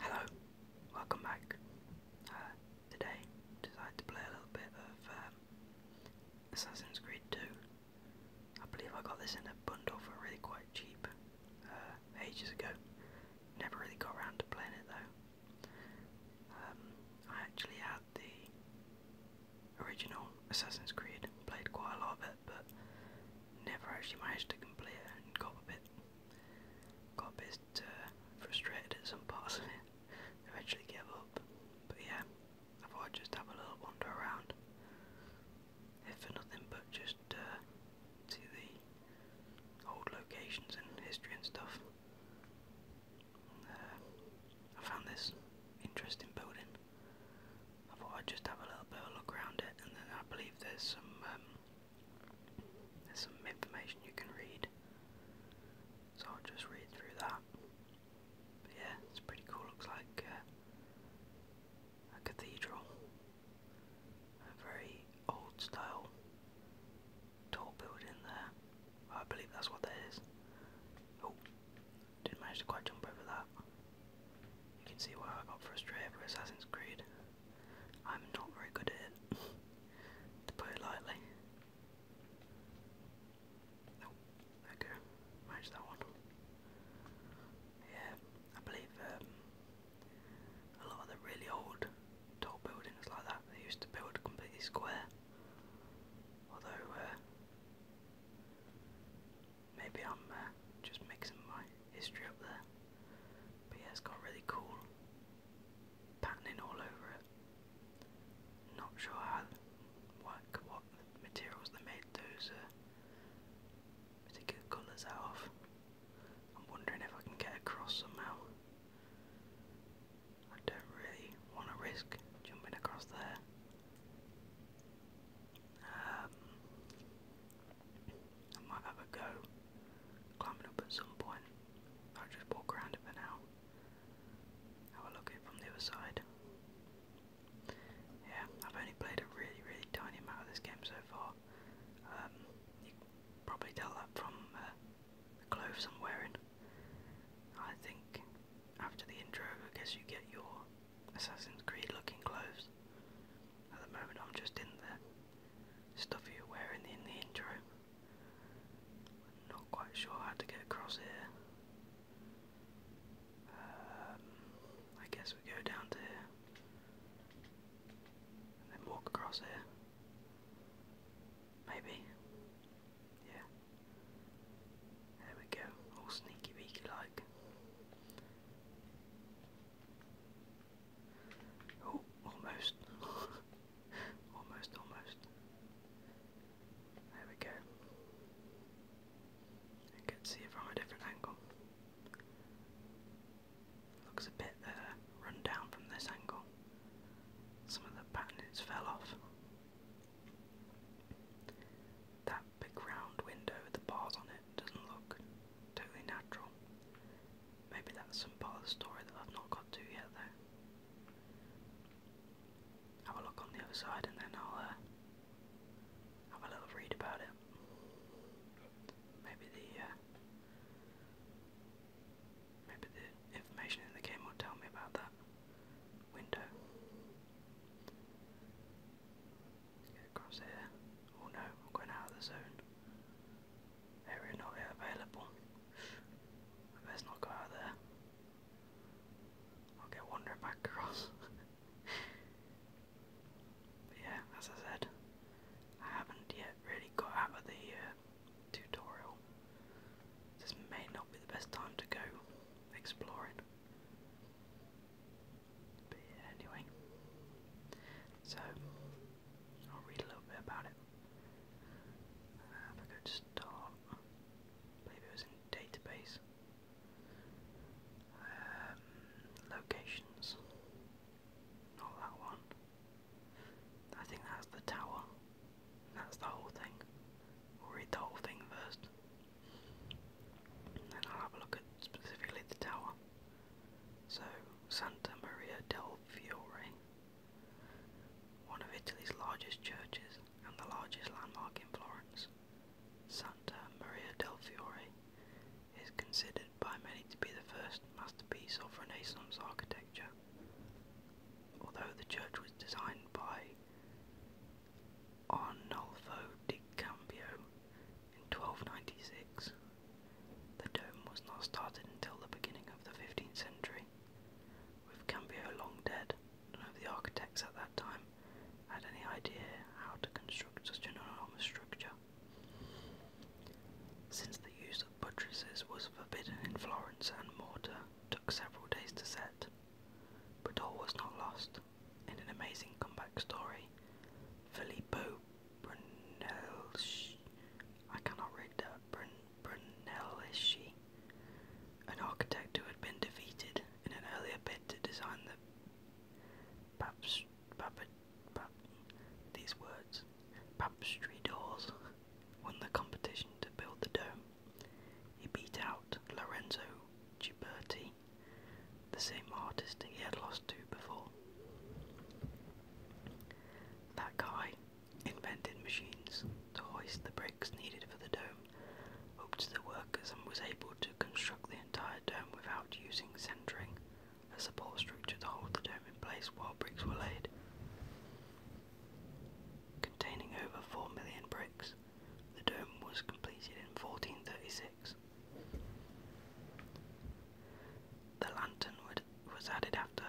Hello, welcome back. Uh, today, decided to play a little bit of um, Assassin's Creed 2. I believe I got this in a bundle for really quite cheap uh, ages ago. Never really got around to playing it though. Um, I actually had the original Assassin's Creed, played quite a lot of it but never actually managed to complete it and got a bit, got a bit uh, frustrated at some parts of it. Eventually gave up, but yeah, I thought i just have a little wander around, if for nothing but just uh, see the old locations and history and stuff. Uh, I found this interesting building. I thought I'd just have a little bit of a look around it, and then I believe there's some um, there's some information you can read. So I'll just read through that. yeah, it's pretty cool. Looks like uh, a cathedral, a very old style tall building there. I believe that's what that is. Oh, didn't manage to quite jump over that. You can see why I got frustrated with Assassin's Creed. I'm not very good at it, to put it lightly. Oh, okay, managed that one. Yeah, I believe um, a lot of the really old tall buildings like that, they used to build completely square. Although, uh, Maybe I'm uh, just mixing my history up there. But yeah, it's got really cool patterning all over it. Not sure how, what, what materials they made those uh, particular colours out of. I'm wondering if I can get across somehow. I don't really want to risk jumping across there. Um, I might have a go climbing up at some point. I'll just walk around it for now. Have a look at it from the other side. Yeah, I've only played a really, really tiny amount of this game so far. Um, you probably tell that from uh, the clothes I'm wearing. I think after the intro, I guess you get your Assassin's Creed looking clothes. At the moment, I'm just in the stuff you were wearing in the intro. I'm not quite sure how to get across here. Um, I guess we go down to here then walk across here. Maybe. Yeah. There we go, all sneaky beaky like. Oh, almost. almost, almost. There we go. I can see it from a different angle. Looks a bit uh, from this angle. Some of the patterns fell off. That big round window with the bars on it doesn't look totally natural. Maybe that's some part of the story that I've not got to yet, though. Have a look on the other side and then I'll uh, have a little read about it. Maybe the uh, maybe the information in the game will tell me about that window across here. Oh no, I'm going out of the zone. Area not yet available. I best not go out there. I'll get wandering back across. but yeah, as I said, I haven't yet really got out of the uh, tutorial. This may not be the best time to go exploring anyway, so I'll read a little bit about it. Uh, if I to start, I it was in database. Um, locations, not that one. I think that's the tower. That's the whole thing. We'll read the whole thing first. then I'll have a look at specifically the tower. So, Santa Maria del Fiore, one of Italy's largest churches and the largest landmark in Florence, Santa Maria del Fiore is considered by many to be the first masterpiece of Renaissance architecture. Although the church was designed by Arnolfo di Cambio in 1296, the dome was not started until the beginning of the 15th century. With Cambio long dead, none of the architects at that time had any idea how to construct such an enormous structure. Since the use of buttresses was forbidden in Florence and mortar took several days to set, but all was not lost. In an amazing comeback story, Filippo Brunelleschi. I cannot read that. Brun Brunelleschi, an architect who had been defeated in an earlier bid to design the Paps, pap, pap, these words, Papstry doors, won the competition to build the dome. He beat out Lorenzo Ghiberti the same artist he had lost to before. That guy invented machines to hoist the bricks needed for the dome up the workers and was able to construct the entire dome without using centering, a support structure to hold the dome in place while bricks were laid. Containing over 4 million bricks, the dome was completed in 1436 the lantern was added after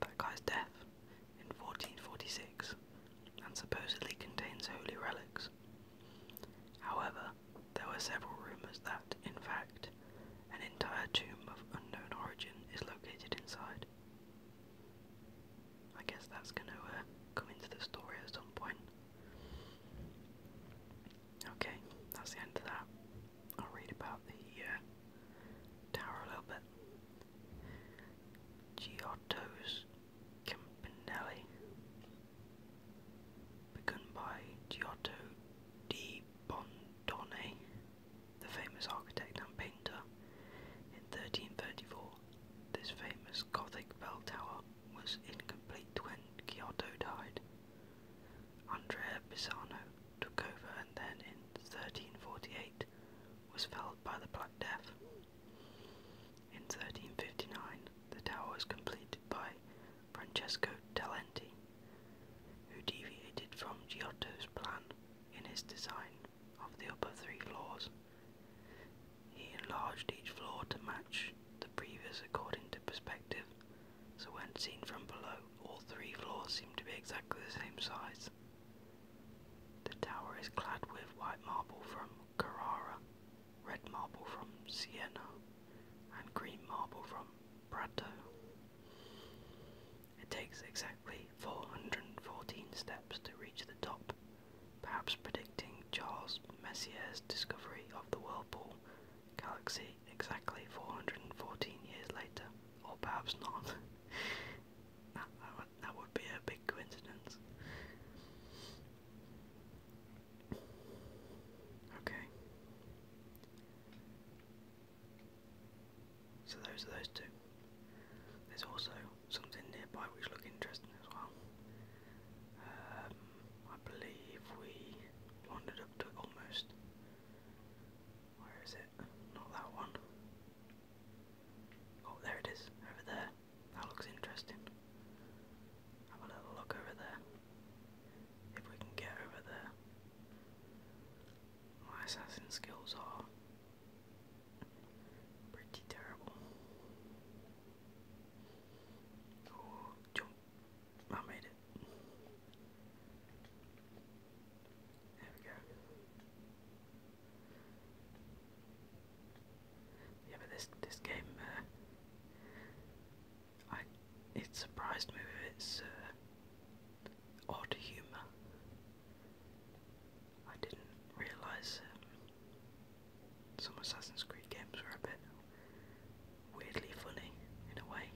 that guy's death in 1446 and supposedly contains holy relics. However, there were several rumours that, in fact, an entire tomb of unknown origin is located inside. I guess that's going to uh, come into the story at some point. Okay, that's the end of that. I'll read about the uh, tower a little bit. Giotto's Campanelli, begun by Giotto di Bondone, the famous architect and painter. In 1334, this famous Gothic bell tower was incomplete when Giotto died. Andrea Pisano took over and then in 1348 was felled by the Black Death. In 1359 the tower was completed by Francesco Talenti, who deviated from Giotto's plan in his design of the upper three floors. He enlarged each floor to match the previous according to perspective so when seen from below, all three floors seem to be exactly the same size. The tower is clad with white marble from Carrara, red marble from Siena, and green marble from Prato. It takes exactly 414 steps to reach the top, perhaps predicting Charles Messier's discovery of the whirlpool galaxy exactly 414 years later, or perhaps not. that, that, would, be a big coincidence. Okay. So those are those two. There's also something nearby which look interesting as well. Um, I believe we wandered up to almost. Where is it? Not that one. Oh, there it is, over there. That looks interesting. Have a little look over there. If we can get over there. My assassin skills are pretty terrible. Oh, jump I made it. There we go. Yeah, but this this game, uh, I it surprised me with its uh, odd humour. I didn't realise um, some Assassin's Creed games were a bit weirdly funny in a way.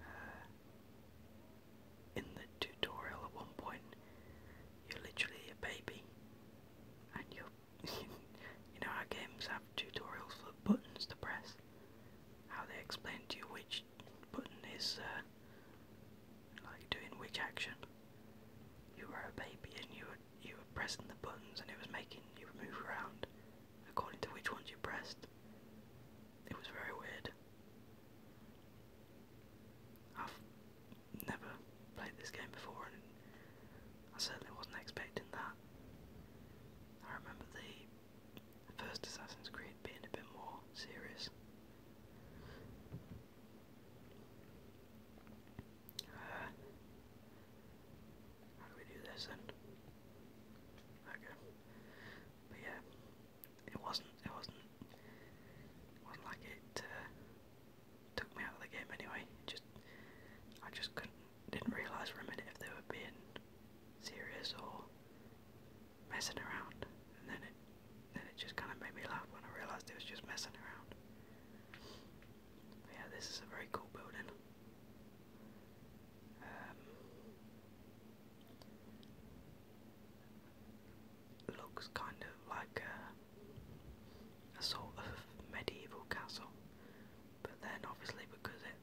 Uh, in the tutorial, at one point, you're literally a baby, and you you know how games have tutorials for buttons to press. How they explain to you which button is uh, like doing which action. You were a baby and you you were pressing the buttons and it was making you move around according to which ones you pressed. It was very weird. I've never played this game before and I certainly wasn't expecting that. I remember the first Assassin's Creed being a bit more serious how do we do this then? Okay. But yeah, it wasn't. It wasn't. It wasn't like it uh, took me out of the game anyway. It just I just couldn't. Didn't realise for a minute if they were being serious or messing around, and then it then it just kind of made me laugh when I realised it was just messing around yeah, this is a very cool building. Um, looks kind of like a, sort of medieval castle, but then obviously because it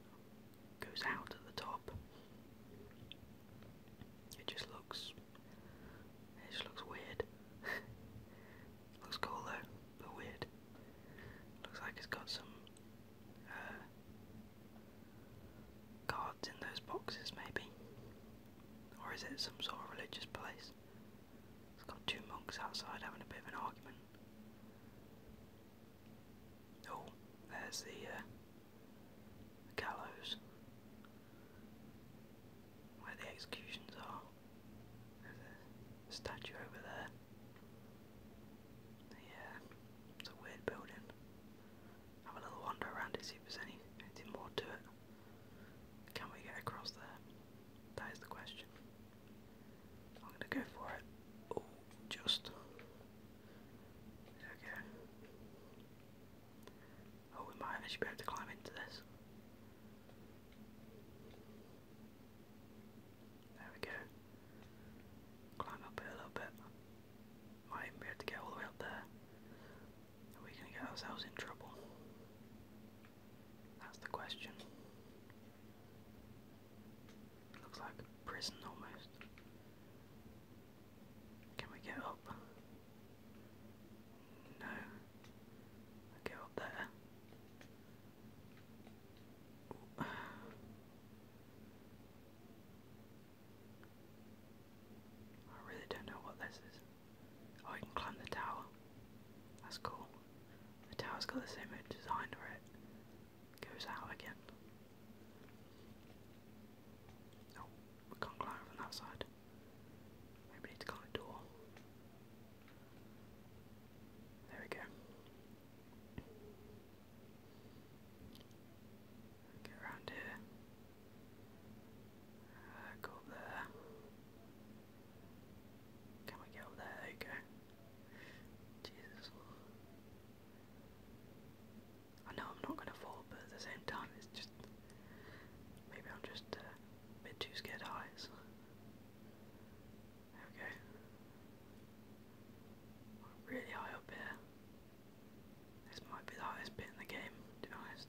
goes out at the top, it just looks it looks weird. Looks cool though, but weird. Looks like it's got some uh, cards in those boxes, maybe. Or is it some sort of religious place? It's got two monks outside having a bit of an argument. Oh, there's the uh, gallows where the executions are. There's a statue over there. Yeah, it's a weird building. Have a little wander around it, see if there's anything more to it. Can we get across there? That is the question. I'm gonna go for it. Oh, just. Okay. Oh, we might actually able to climb into this. There we go. Climb up it a little bit. Might even be able to get all the way up there. Are we going to get ourselves in trouble? That's the question. Looks like prison almost. Can we get up? No. get up there. I really don't know what this is. Oh, you can climb the tower. That's cool. The tower's got the same design where it goes out again. Oh, we can't climb from that side. Maybe we need to climb a door. There we go. Get around here. Uh, go up there. Can we get up there? There Jesus. I know I'm not going to fall, but at the same time, it's just. Maybe I'm just a bit too scared of heights. Okay. really high up here. This might be the highest bit in the game, to be honest.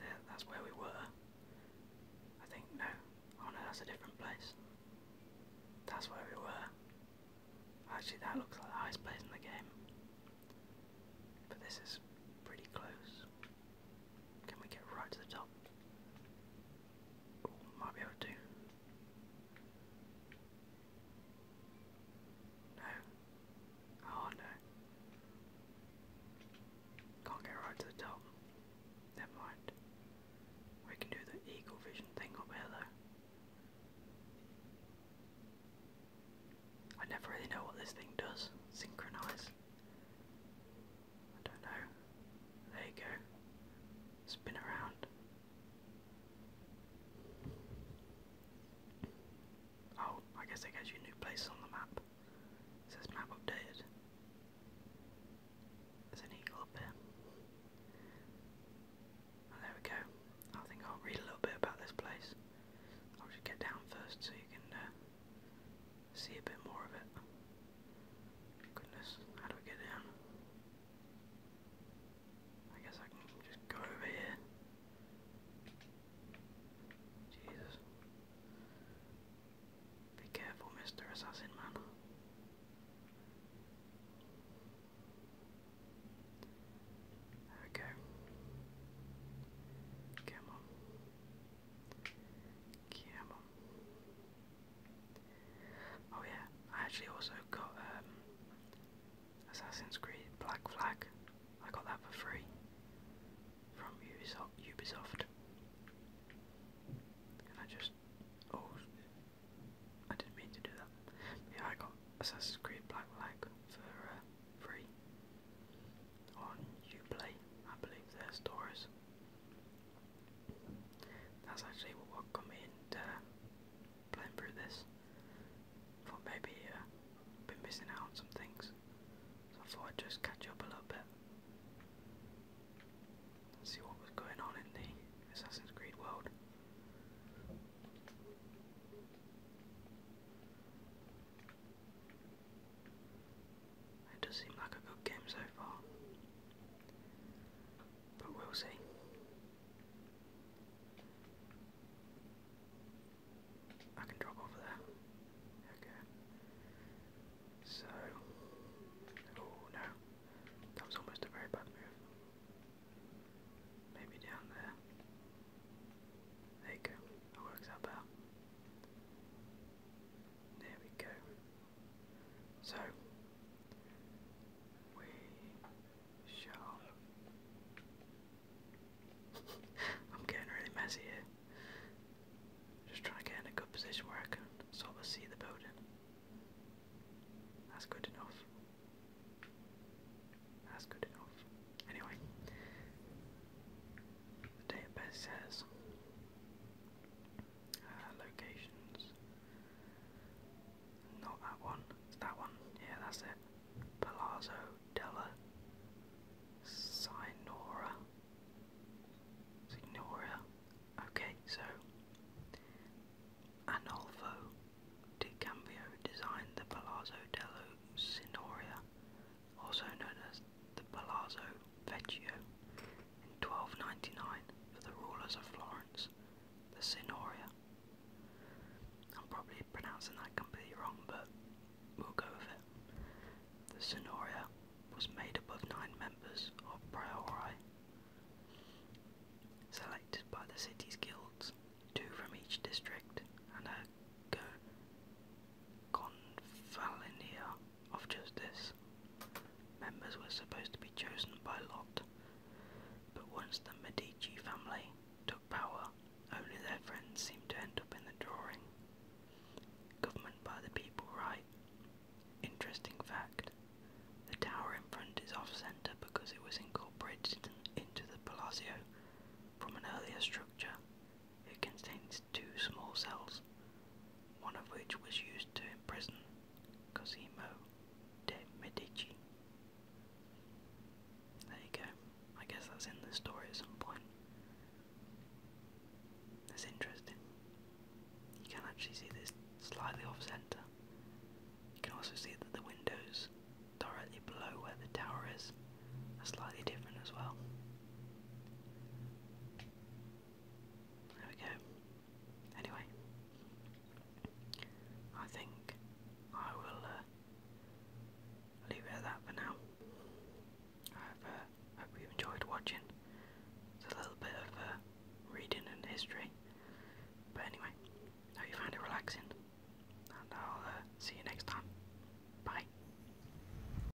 There, that's where we were. I think, no. Oh no, that's a different place. That's where we were. Actually, that looks like the highest place in the game. But this is pretty close. Can we get right to the top? might be able to. No. Oh no. Can't get right to the top. Never mind. We can do the eagle vision thing up here I never really know what this thing does. Synchronize. I don't know. There you go. Spin around. Oh, I guess it gives you new places on the map. says map updated. There's an eagle up here. Oh, there we go. I think I'll read a little bit about this place. I'll just get down first so you can uh, see a bit more of it. Goodness, how do we get down? I guess I can just go over here. Jesus. Be careful, Mr. Assassin Man. There Come on. Oh yeah, I actually also got um, Assassin's Creed Black Flag. I got that for free from Ubisoft. I just oh, I didn't mean to do that. Yeah, I got Assassin's Creed Black Flag for uh, free on Uplay, I believe their stores. That's actually what got me into playing through this. Thought maybe uh, I've been missing out on some things, so I thought I'd just catch up a little bit and see what was going on in the Assassin's Creed world. It does seem like a good game so far. But we'll see. I can drop over there. Okay. So. Oh no. That was almost a very bad move. Maybe down there. There you go. That works out better. There we go. So, we shall. I'm getting really messy here. Just trying to get in a good position where I can sort of see the building. That's good enough. That's good enough. Anyway, the database says uh, locations. Not that one. That one. Yeah, that's it. Palazzo della Signora. Signora. Okay, so Anolfo di Cambio designed the Palazzo della Signoria also known as the Palazzo Vecchio, in 1299 for the rulers of Florence, the Senoria. I'm probably pronouncing that completely wrong, but we'll go with it. The Senoria was made up of nine members of Priori, selected by the city's guilds, two from each district, and a Convalinea of Justice. Members were supposed to be chosen by lot, but once the Medici family took power, only their friends seemed to end up in the drawing. Government by the people, right? Interesting fact. The tower in front is off centre because it was incorporated into the Palazzo from an earlier structure. It contains two small cells, one of which was used to imprison Cosimo de' Medici. There you go. I guess that's in the story at some point. That's interesting. You can actually see this slightly off centre. You can also see that the windows directly below where the tower is are slightly different as well. There we go. Anyway, I think I will uh, leave it at that for now. I hope, uh, you enjoyed watching. a little bit of uh, reading and history. But anyway, hope you found it relaxing. And I'll see you next time. Bye.